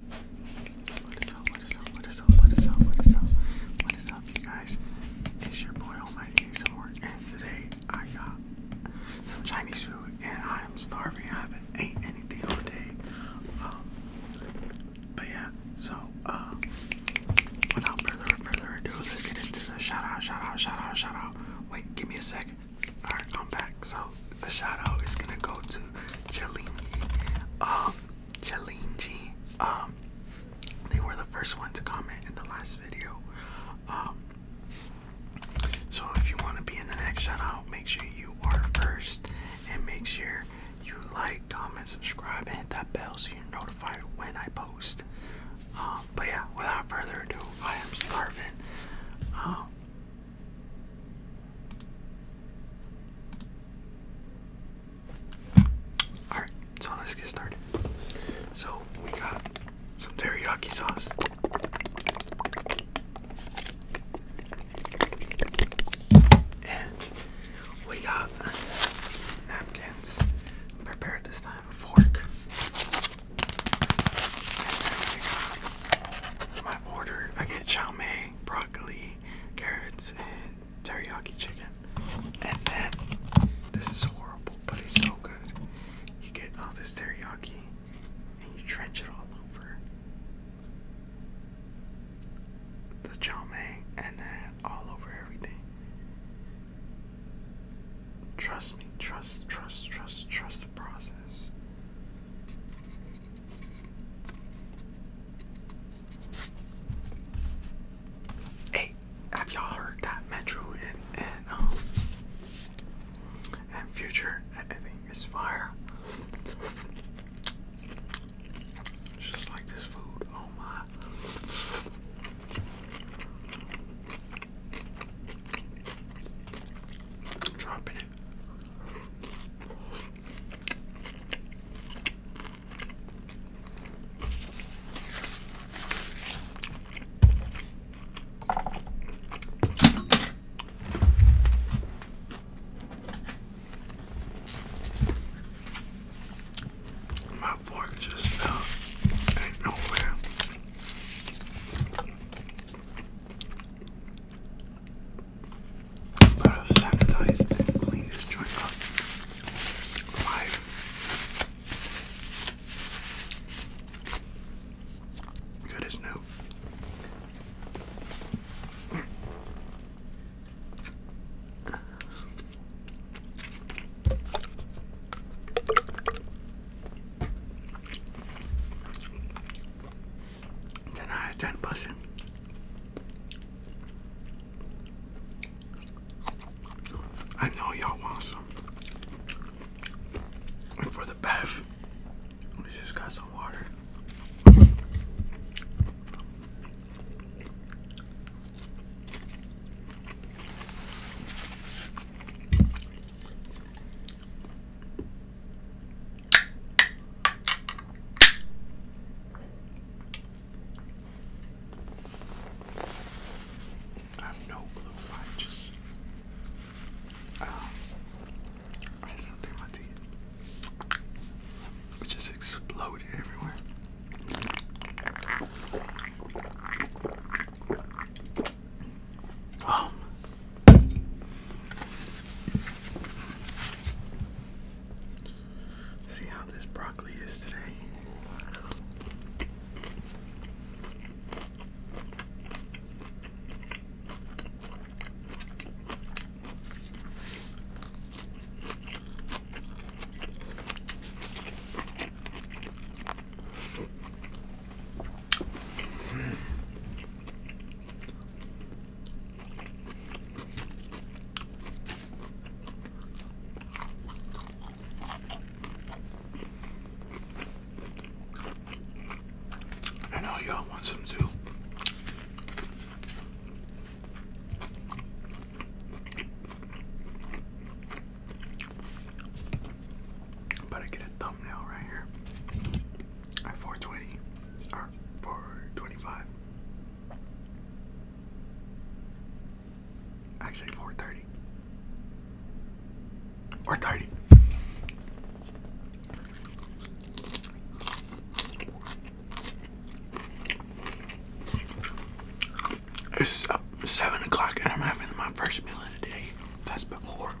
What is up, what is up, what is up, what is up, what is up, what is up, you guys? It's your boy Almighty ASMR, and today I got some Chinese food, and I am starving. I haven't ate anything all day. Um, but yeah, so, uh, without further, further ado, let's get into the shout out, shout out, shout out, shout out. Wait, give me a second. Alright, I'm back. So, the a shout out is gonna go to Jalinji. Um, Jalinji. Um, they were the first one to comment in the last video. Um, so if you want to be in the next shout out, make sure you are first, and make sure you like, comment, subscribe, and hit that bell so you're notified when I post. Um, but yeah, without further ado, I am starving. Alright, so let's get started. So we got some teriyaki sauce. And we got napkins prepared this time, a fork. I ordered, I get chow mein, broccoli, carrots, and teriyaki chicken. And then, this is horrible, but it's so good. You get all this teriyaki and you drench it all over the chow mein and then all over everything. Trust me, trust, trust, trust, trust the process. Hey, have y'all heard that Metro and and um and Future? I, I think is fire. just like this food. Oh my. Dropping it my fork just uh, ain't nowhere. But i sanitized and cleaned this joint Good as new. Ten ten person. I know y'all want some. And for the bev, we just got some water. I have no clue I just um, I It just exploded everywhere. Um. See how this broccoli is today. I know y'all want some too. I better get a thumbnail right here at 420 or 425. Actually, 430. 430. It's seven o'clock and I'm having my first meal of the day. That's been horrible.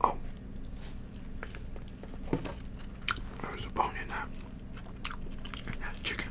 Oh, there was a bone in that. In chicken.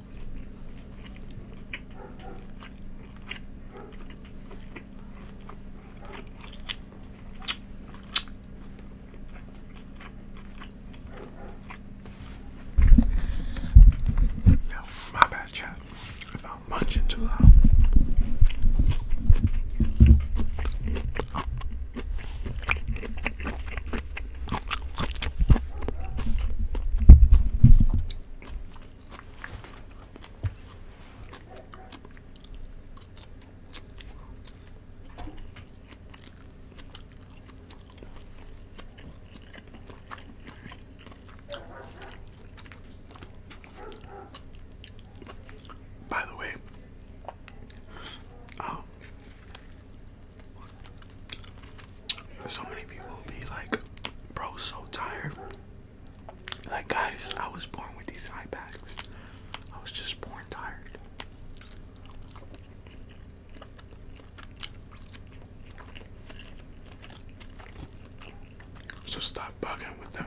Yo, my bad chat if I'm munching too loud. By the way, um, so many people will be like, bro, so tired. Like, guys, I was born with these eye bags. I was just born tired. So stop bugging with them.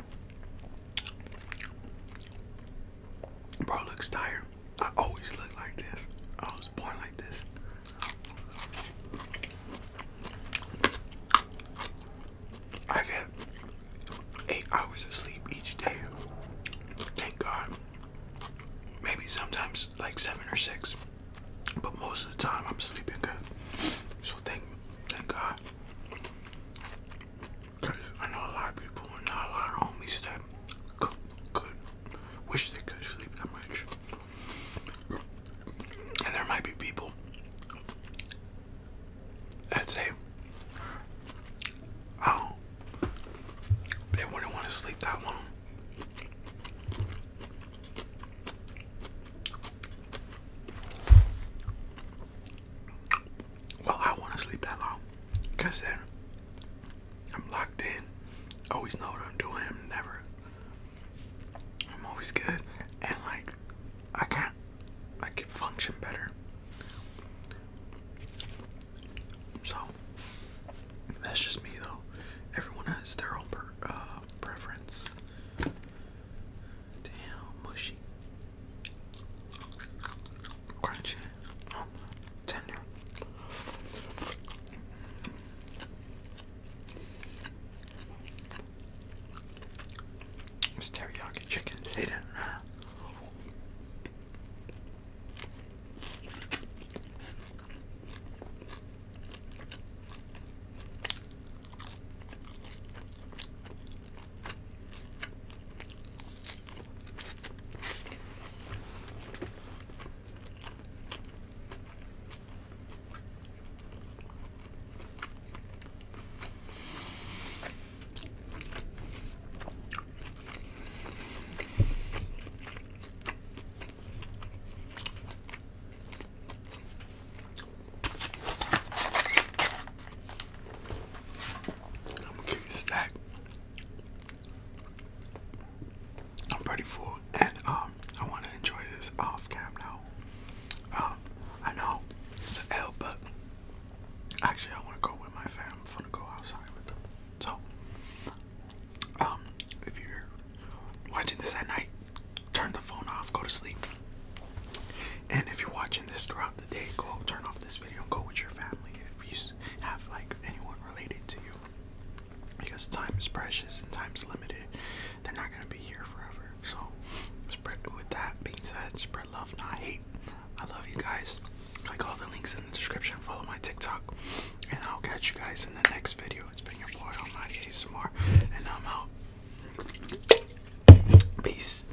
Bro looks tired. I always look like this. I was born like this. I get eight hours of sleep each day. Thank God. Maybe sometimes like seven or six. But most of the time I'm sleeping good. So thank thank God. I know a lot of people and not a lot of homies that good wish they could sleep that much. And there might be people that say, oh, they wouldn't want to sleep that long. Well, I want to sleep that long because then I'm locked in. Always know what I'm doing. I'm never. I'm always good, and like, I can't. I can function better. So that's just me, though. Everyone has their own uh, preference. Damn, mushy crunchy, oh, tender. teriyaki chicken, see that? I'm gonna give you a snack. I'm pretty full, and um, I want to enjoy this off camera. now. Um, I know it's an but actually, I want to go with my fam. I'm gonna go outside with them. So, um, if you're watching this at night, turn the phone off, go to sleep. And if you're watching this throughout throughout the day, go turn off this video and go with your family if you have like anyone related to you. Because time is precious and time is limited. They're not gonna be here forever. So spread with that being said, spread love, not hate. I love you guys. Click all the links in the description, follow my TikTok, and I'll catch you guys in the next video. It's been your boy Almighty ASMR, and I'm out. Peace.